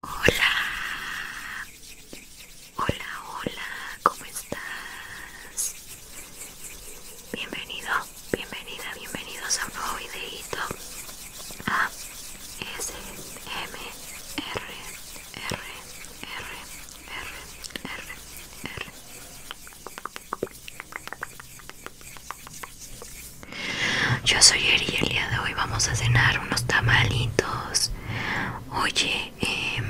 Hola, hola, hola, ¿cómo estás? Bienvenido, bienvenida, bienvenidos a un nuevo videito a S M R R R R R R yo soy Eri y el día de hoy vamos a cenar unos tamalitos. Oye, em,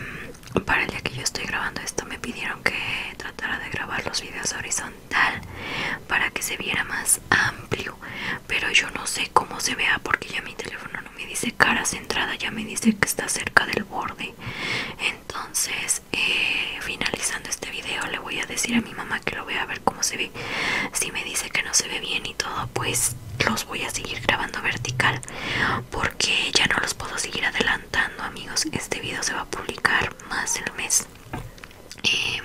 para el día que yo estoy grabando esto me pidieron que tratara de grabar los videos horizontal para que se viera más amplio. Pero yo no sé cómo se vea porque ya mi teléfono no me dice cara centrada, ya me dice que está cerca del borde. Entonces, eh, finalizando este video le voy a decir a mi mamá que lo vea a ver cómo se ve. Si me dice que no se ve bien y todo pues los voy a seguir grabando vertical porque ya no los puedo seguir adelantando amigos este video se va a publicar más el mes em,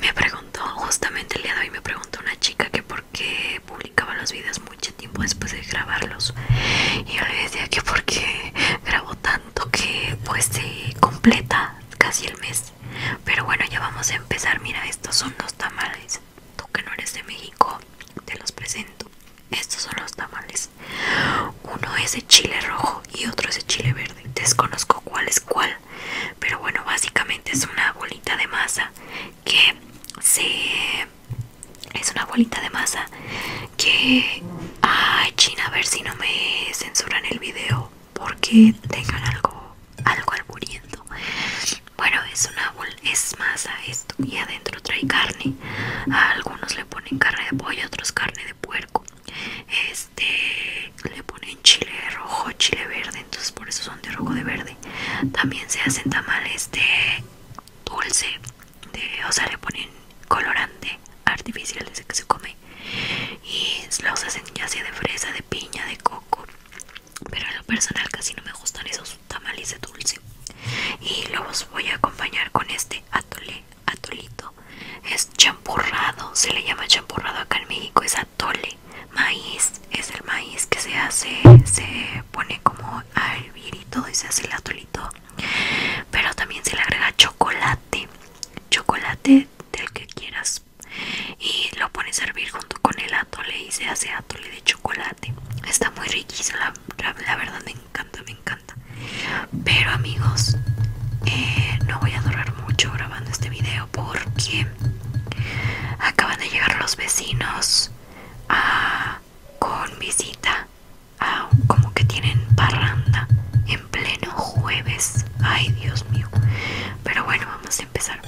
me preguntó justamente el día de hoy me preguntó una chica que por qué publicaba los videos mucho tiempo después de grabarlos y yo le decía que porque grabo tanto que pues se completa casi el mes pero bueno, ya vamos a empezar. Mira, estos son los tamales. Tú que no eres de México, te los presento. Estos son los tamales. Uno es de chile rojo y otro es de chile verde. Desconozco cuál es cuál. Pero bueno, básicamente es una bolita de masa que se... Es una bolita de masa que... Ay, China, a ver si no me censuran el video porque tengan algo algo alburiento bueno es una es masa esto y adentro trae carne a algunos le ponen carne de pollo otros carne de puerco este le ponen chile rojo chile verde entonces por eso son de rojo de verde también se hacen tamales de dulce de, o sea le ponen colorante artificial desde que se come y los hacen ya sea de fresa, de piña, de coco pero en lo personal casi no me gustan esos tamales de dulce y los voy a acompañar con este atole, atolito es champurrado, se le llama champurrado acá en México, es atole maíz, es el maíz que se hace, se pone como a hervir y todo y se hace el atolito pero también se le agrega chocolate chocolate del que quieras y lo pone a servir junto con el atole y se hace atole de chocolate está muy riquísimo la, verdad me encanta me encanta pero amigos eh, no voy a durar mucho grabando este video porque acaban de llegar los vecinos ah, con visita como que tienen parranda pleno jueves. Ay, Dios mío. Pero bueno, vamos a empezar.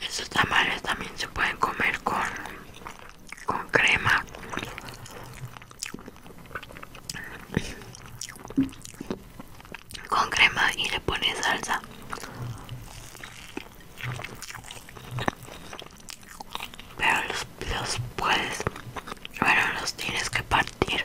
Esos tamales también se pueden comer con, con crema. Con crema y le pones salsa. Pero los, los puedes, bueno, los tienes que partir.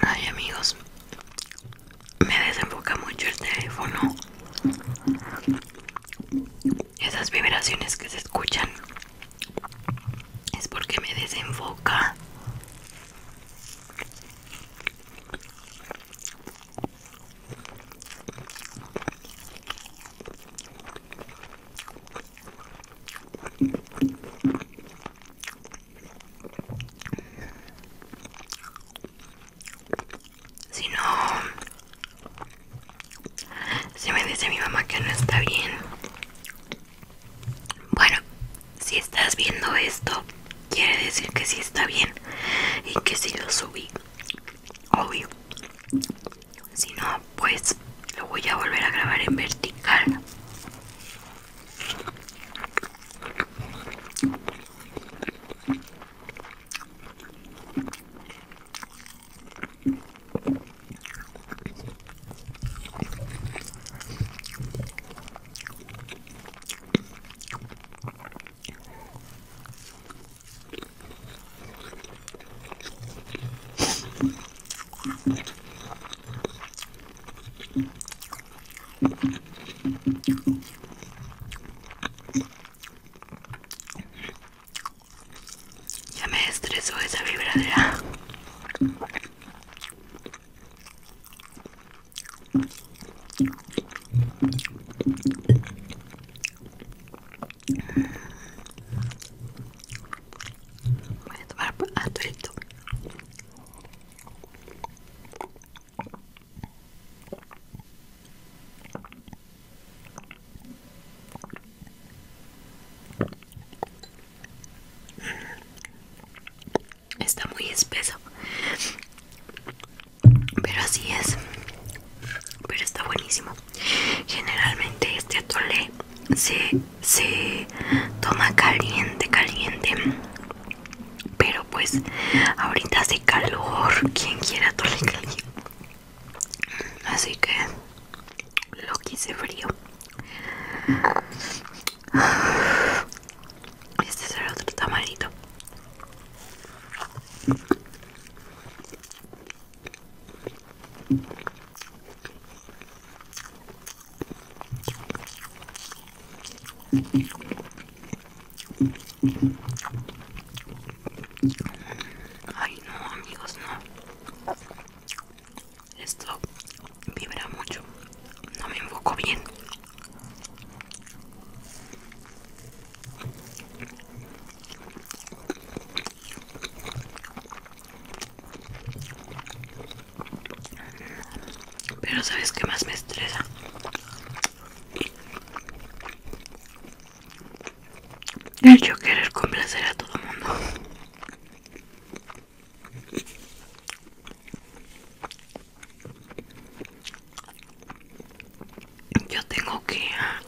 Ay amigos, me desenfoca mucho el teléfono. Esas vibraciones que se escuchan es porque me desenfoca. Si no, si me dice mi mamá que no está bien. Bueno, si estás viendo esto, quiere decir que sí está bien y que sí lo subí. Obvio. Si no, pues lo voy a volver a grabar en vertical ya me estresó esa vibradera. Voy a tomar Está muy espeso, pero así es. Pero está buenísimo. Generalmente este atole se, se toma caliente, caliente. Pero pues ahorita hace calor, quien quiera atole caliente. Así que lo quise frío. Este es el otro tamarito Ay no amigos, no. Esto vibra mucho. No me enfoco bien. Pero sabes qué más me estresa. El yo querer complacer a todo el mundo. Yo tengo que ah,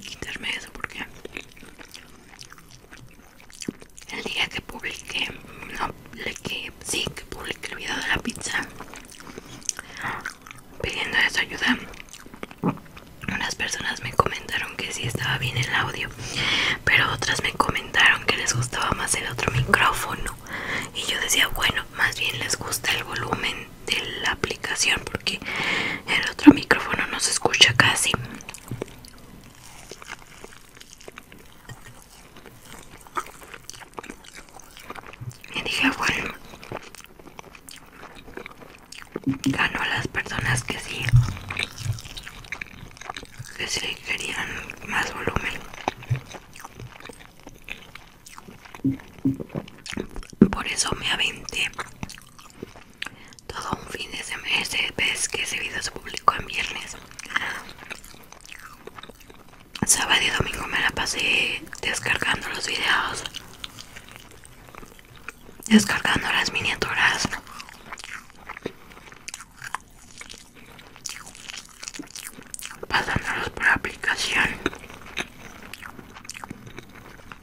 quitarme eso porque el día que publiqué no, le sí que publiqué el video de la pizza pidiendo esa ayuda unas personas me comentaron que sí estaba bien el audio pero otras me comentaron que les gustaba más el otro micrófono y yo decía bueno más bien les gusta el volumen de la aplicación porque el otro micrófono no se escucha casi y dije bueno ganó a las personas que sí que sí querían más volumen por eso me aventé todo un fin de semestre ves que ese video se publicó en viernes sábado y domingo me la pasé descargando los videos descargando las miniaturas pasándolos por aplicación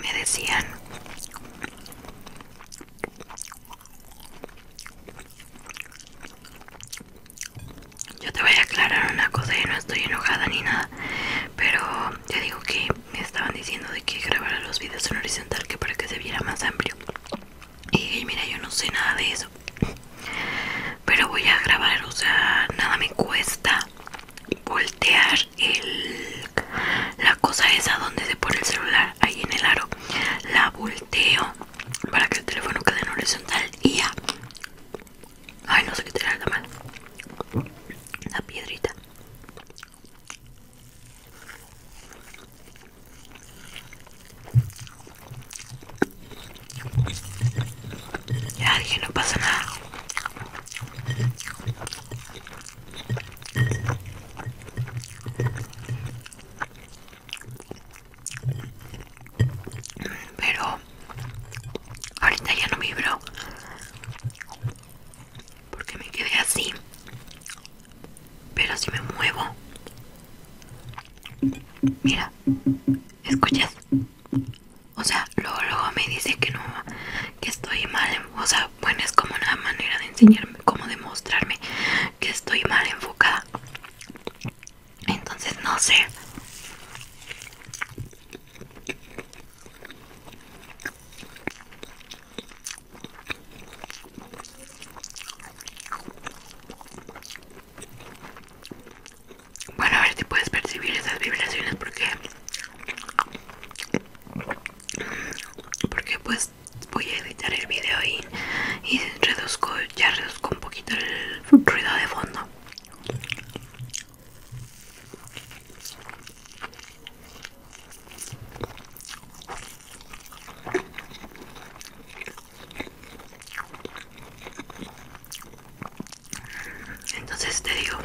me decían yo te voy a aclarar una cosa y no estoy enojada ni nada pero te digo que me estaban diciendo de que grabar los videos en horizontal que para que se viera más amplio y mira yo no sé nada de eso pero voy a grabar o sea nada me cuesta voltear el, la cosa esa donde se pone el celular ahí en el aro la volteo para que el teléfono quede en horizontal y ya ay no sé qué tirar la mal la piedrita ya dije, no pasa nada. Pero ahorita ya no vibro porque me quedé así. Pero si me muevo, mira, escuchas. O sea, luego, luego me dice que no, que estoy mal. O sea, bueno, es como una manera de enseñarme, como de mostrarme que estoy mal enfocada. Entonces, no sé. Bueno, a ver si puedes percibir esas vibraciones porque porque pues voy a editar el video y, y reduzco ya reduzco un poquito el ruido de fondo entonces te digo,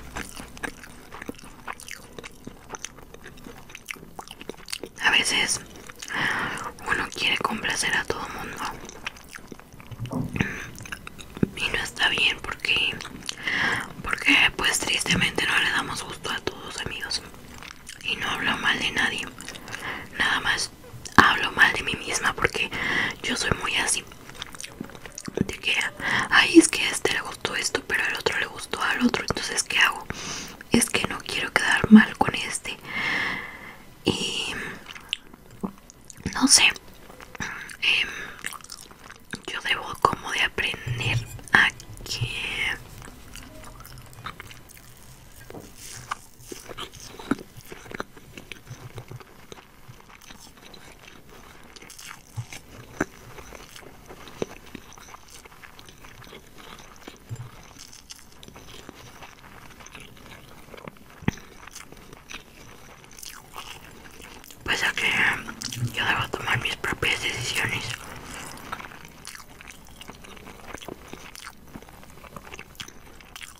a veces uno quiere complacer a todo mundo y no está bien porque, porque pues tristemente no le damos gusto a todos amigos y no hablo mal de nadie, nada más hablo mal de mí misma porque yo soy muy así de que ay es que a este le gustó esto pero al otro le gustó al otro entonces qué hago es que no quiero quedar mal con este y no sé em, yo debo como de aprender a que pues que yo debo tomar mis propias decisiones.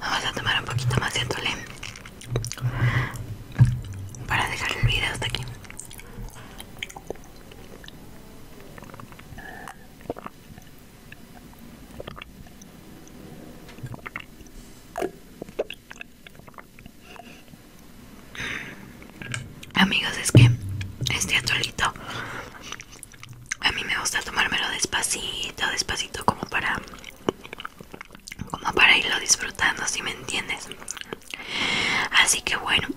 Vamos a tomar un poquito más de atole para dejar el video hasta aquí. Amigos, es que este atolito a mí me gusta tomármelo despacito, despacito como para como para irlo disfrutando si me entiendes así que bueno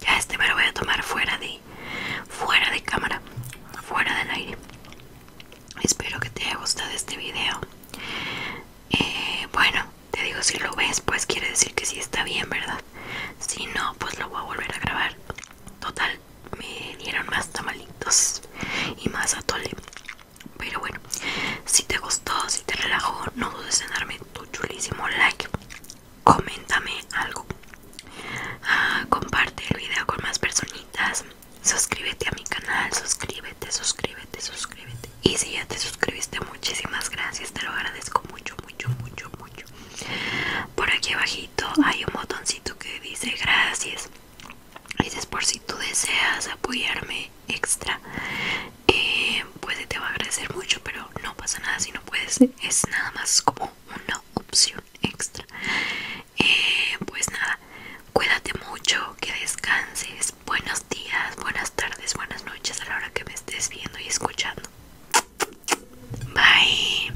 ya este me lo voy a tomar fuera de fuera de cámara fuera del aire espero que te haya gustado este video eh, bueno te digo si lo ves pues quiere decir que sí está bien verdad si no pues lo voy a volver a grabar total me dieron más tamalitos y más atole pero bueno, si te gustó, si te relajó, no dudes en darme tu chulísimo like. Coméntame algo. Ah, comparte el video con más personitas. Suscríbete a mi canal, suscríbete, suscríbete, suscríbete. Y si ya te suscribiste, muchísimas gracias. Te lo agradezco mucho, mucho, mucho, mucho. Por aquí abajito hay un botoncito que dice gracias. Dices por si tú deseas apoyarme extra, pues te va a agradecer mucho, pero no pasa nada si no puedes, es nada más como una opción extra. Eh, pues nada, cuídate mucho, que descanses, buenos días, buenas tardes, buenas noches a la hora que me estés viendo y escuchando. Bye.